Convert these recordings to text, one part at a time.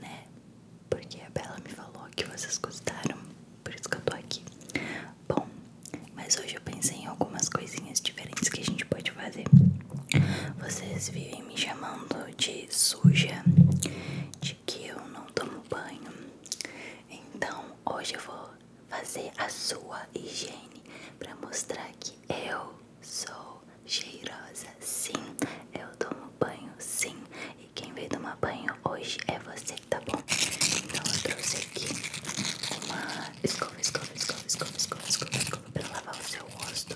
né? Porque a Bela me falou que vocês gostaram, por isso que eu tô aqui. Bom, mas hoje eu pensei em algumas coisinhas diferentes que a gente pode fazer. Vocês vivem me chamando de suja, de que eu não tomo banho. Então hoje eu vou fazer a sua higiene para mostrar que eu sou cheirosa, sim. Eu tomo banho, sim. E quem veio tomar banho hoje é você, tá bom? Então eu trouxe aqui uma escova, escova, escova, escova, escova, escova, escova pra lavar o seu rosto.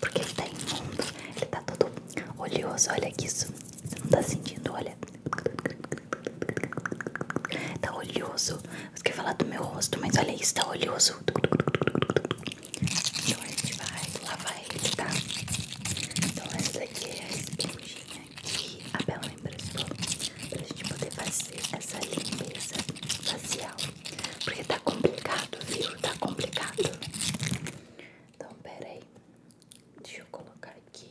Porque ele tá imundo, ele tá todo oleoso. Olha isso, você não tá sentindo, olha. Tá oleoso. Você quer falar do meu rosto, mas olha isso, tá oleoso. Então a gente vai lavar ele, tá? Então essa daqui é a esponjinha que a Bela emprestou pra gente poder fazer essa limpeza facial. Porque tá complicado, viu? Tá complicado. Então pera aí. Deixa eu colocar aqui.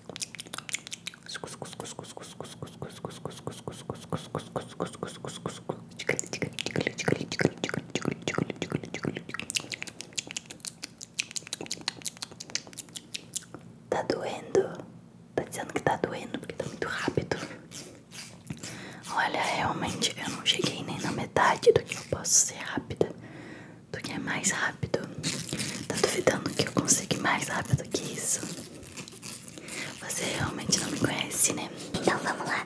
Tá doendo? Tá dizendo que tá doendo porque tá muito rápido. Olha, realmente eu não cheguei nem na metade do que eu posso ser rápida do que é mais rápido. Tá duvidando que eu consigo mais rápido do que isso? Você realmente não me conhece, né? Então vamos lá.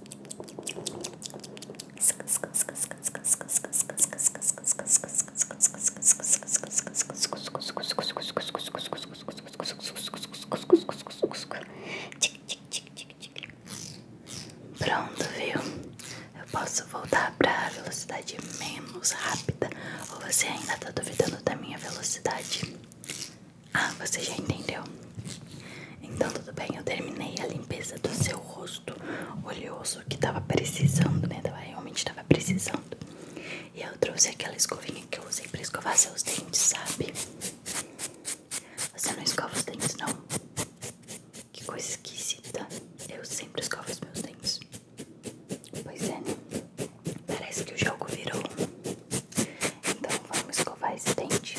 Pronto, viu? Eu posso voltar para a velocidade menos rápida ou você ainda tá duvidando da minha velocidade? Ah, você já entendeu. Então tudo bem, eu terminei a limpeza do seu rosto oleoso que tava precisando, né? Tava, realmente tava precisando. E eu trouxe aquela escovinha que eu usei pra escovar seus dentes, sabe? Você não escova os dentes, não? Que coisa esquisita. Eu sempre escovo os meus dentes. Pois é, Parece que o jogo virou. Então vamos escovar esse dente.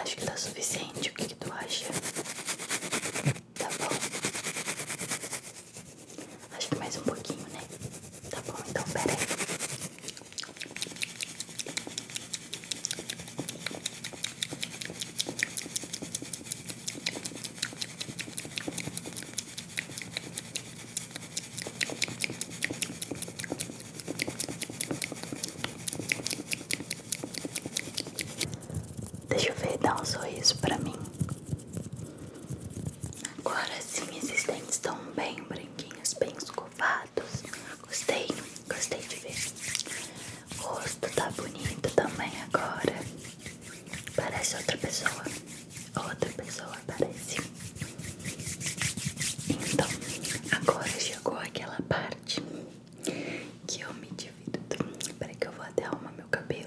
Acho que tá suficiente. O que, que tu acha? Tá bom. Acho que mais um pouquinho, né? Tá bom, então pera aí. Deixa eu ver, dá um sorriso pra mim. Agora sim, esses dentes estão bem branquinhos, bem escovados. Gostei, gostei de ver. O rosto tá bonito também agora. Parece outra pessoa. Outra pessoa parece. Então, agora chegou aquela parte que eu me divido. Peraí que eu vou até arrumar meu cabelo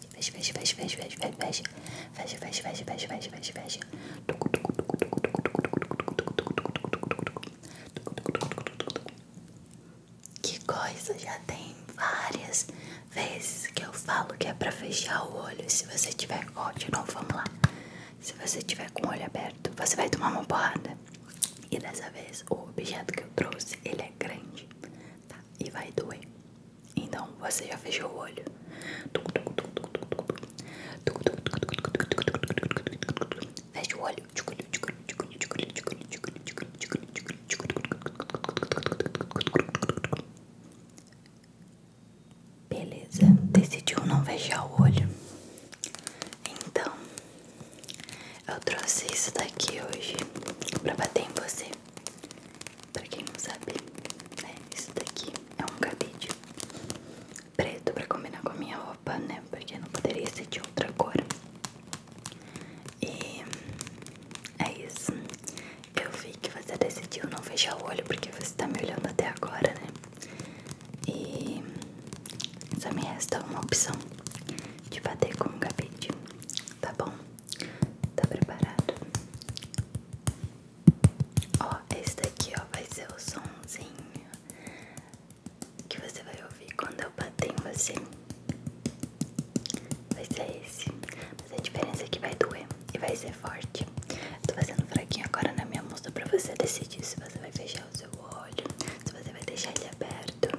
fecha, fecha, fecha, fecha, fecha, fecha, fecha, fecha, fecha, fecha, fecha, fecha, fecha. Que coisa, já tem várias vezes que eu falo que é pra fechar o olho. Se você tiver ó, de novo, vamos lá. Se você tiver com o olho aberto, você vai tomar uma porrada. E dessa vez o objeto que eu trouxe ele é grande, tá? E vai doer. Então você já fechou o olho. Fecha o olho. Beleza, decidiu não fechar o olho. Então, eu trouxe isso daqui hoje pra bater em você. Pra quem não sabe, né? Isso daqui é um cabide preto pra combinar com a minha roupa, né? Porque não poderia ser de outra cor. E é isso. Eu vi que você decidiu não fechar o olho porque você tá me olhando até agora, né? E só me resta uma opção de bater com um cabide, tá bom? Tá preparado? Ó, esse daqui, ó, vai ser o somzinho que você vai ouvir quando eu bater em você. Vai ser esse. Mas a diferença é que vai doer e vai ser forte. Eu tô fazendo fraquinho agora na minha mão só pra você decidir se você vai fechar o seu olho, se você vai deixar ele aberto.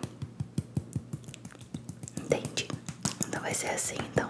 Entendi. Então vai ser assim, então.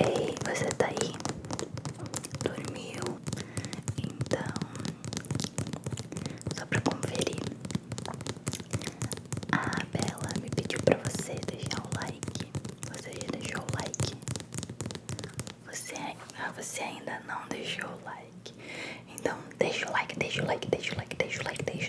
Ei, você tá aí? Dormiu? Então, só pra conferir, a Bela me pediu pra você deixar o like. Você já deixou o like? Você, ah, você ainda não deixou o like. Então, deixa o like, deixa o like, deixa o like, deixa o like, deixa.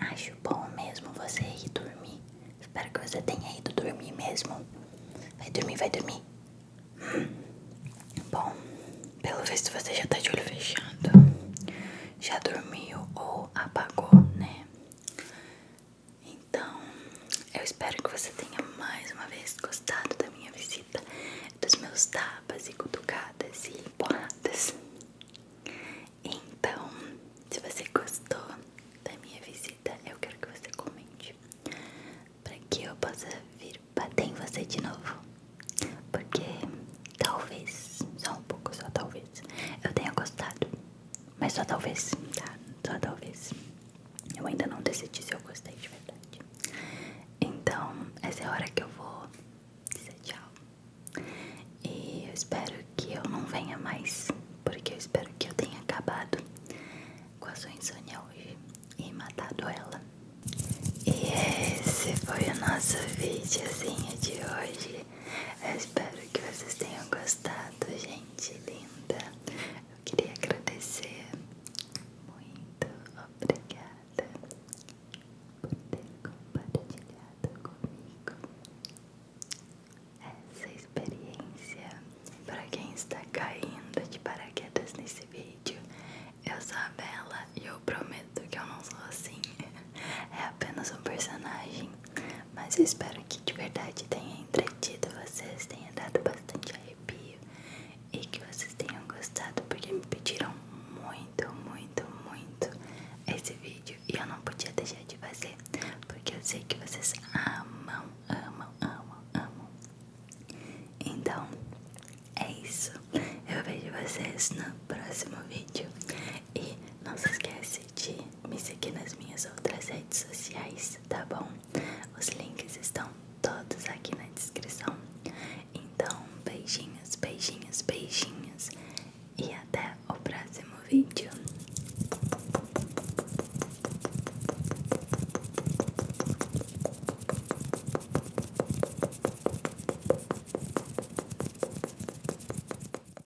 Acho bom mesmo você ir dormir. Espero que você tenha ido dormir mesmo. Vai dormir, vai dormir. Bom, pelo visto você já tá de olho fechado. Já dormiu ou apagou, né? Então, eu espero que você tenha mais uma vez gostado da minha visita, dos meus tapas e cutucadas e porradas. Então, se você gostou da minha visita, eu quero que você comente para que eu possa vir bater em você de novo. Porque talvez, só um pouco, só talvez, eu tenha gostado. Mas só talvez, tá? Só talvez. Eu ainda não decidi se eu gostei de verdade. Então, essa é a hora que eu vou dizer tchau. E eu espero que eu não venha mais, porque eu espero que eu tenha acabado com a sua insônia hoje e matado ela. E esse foi o nosso videozinho de hoje. Eu espero que vocês tenham gostado, gente linda. Eu queria agradecer muito obrigada por ter compartilhado comigo essa experiência. Para quem está caindo de paraquedas nesse vídeo, eu sou a Bela e eu prometo que eu não sou assim. É apenas um personagem mas eu espero que de verdade tenha entretido vocês, tenha dado bastante arrepio e que vocês tenham gostado, porque me pediram muito, muito, muito esse vídeo e eu não podia deixar de fazer, porque eu sei que vocês amam, amam, amam, amam. Então é isso. Eu vejo vocês no próximo vídeo. E não se esquece de me seguir nas minhas outras redes sociais, tá bom? Os links estão todos aqui na descrição. Então, beijinhos, beijinhos, beijinhos e até o próximo vídeo.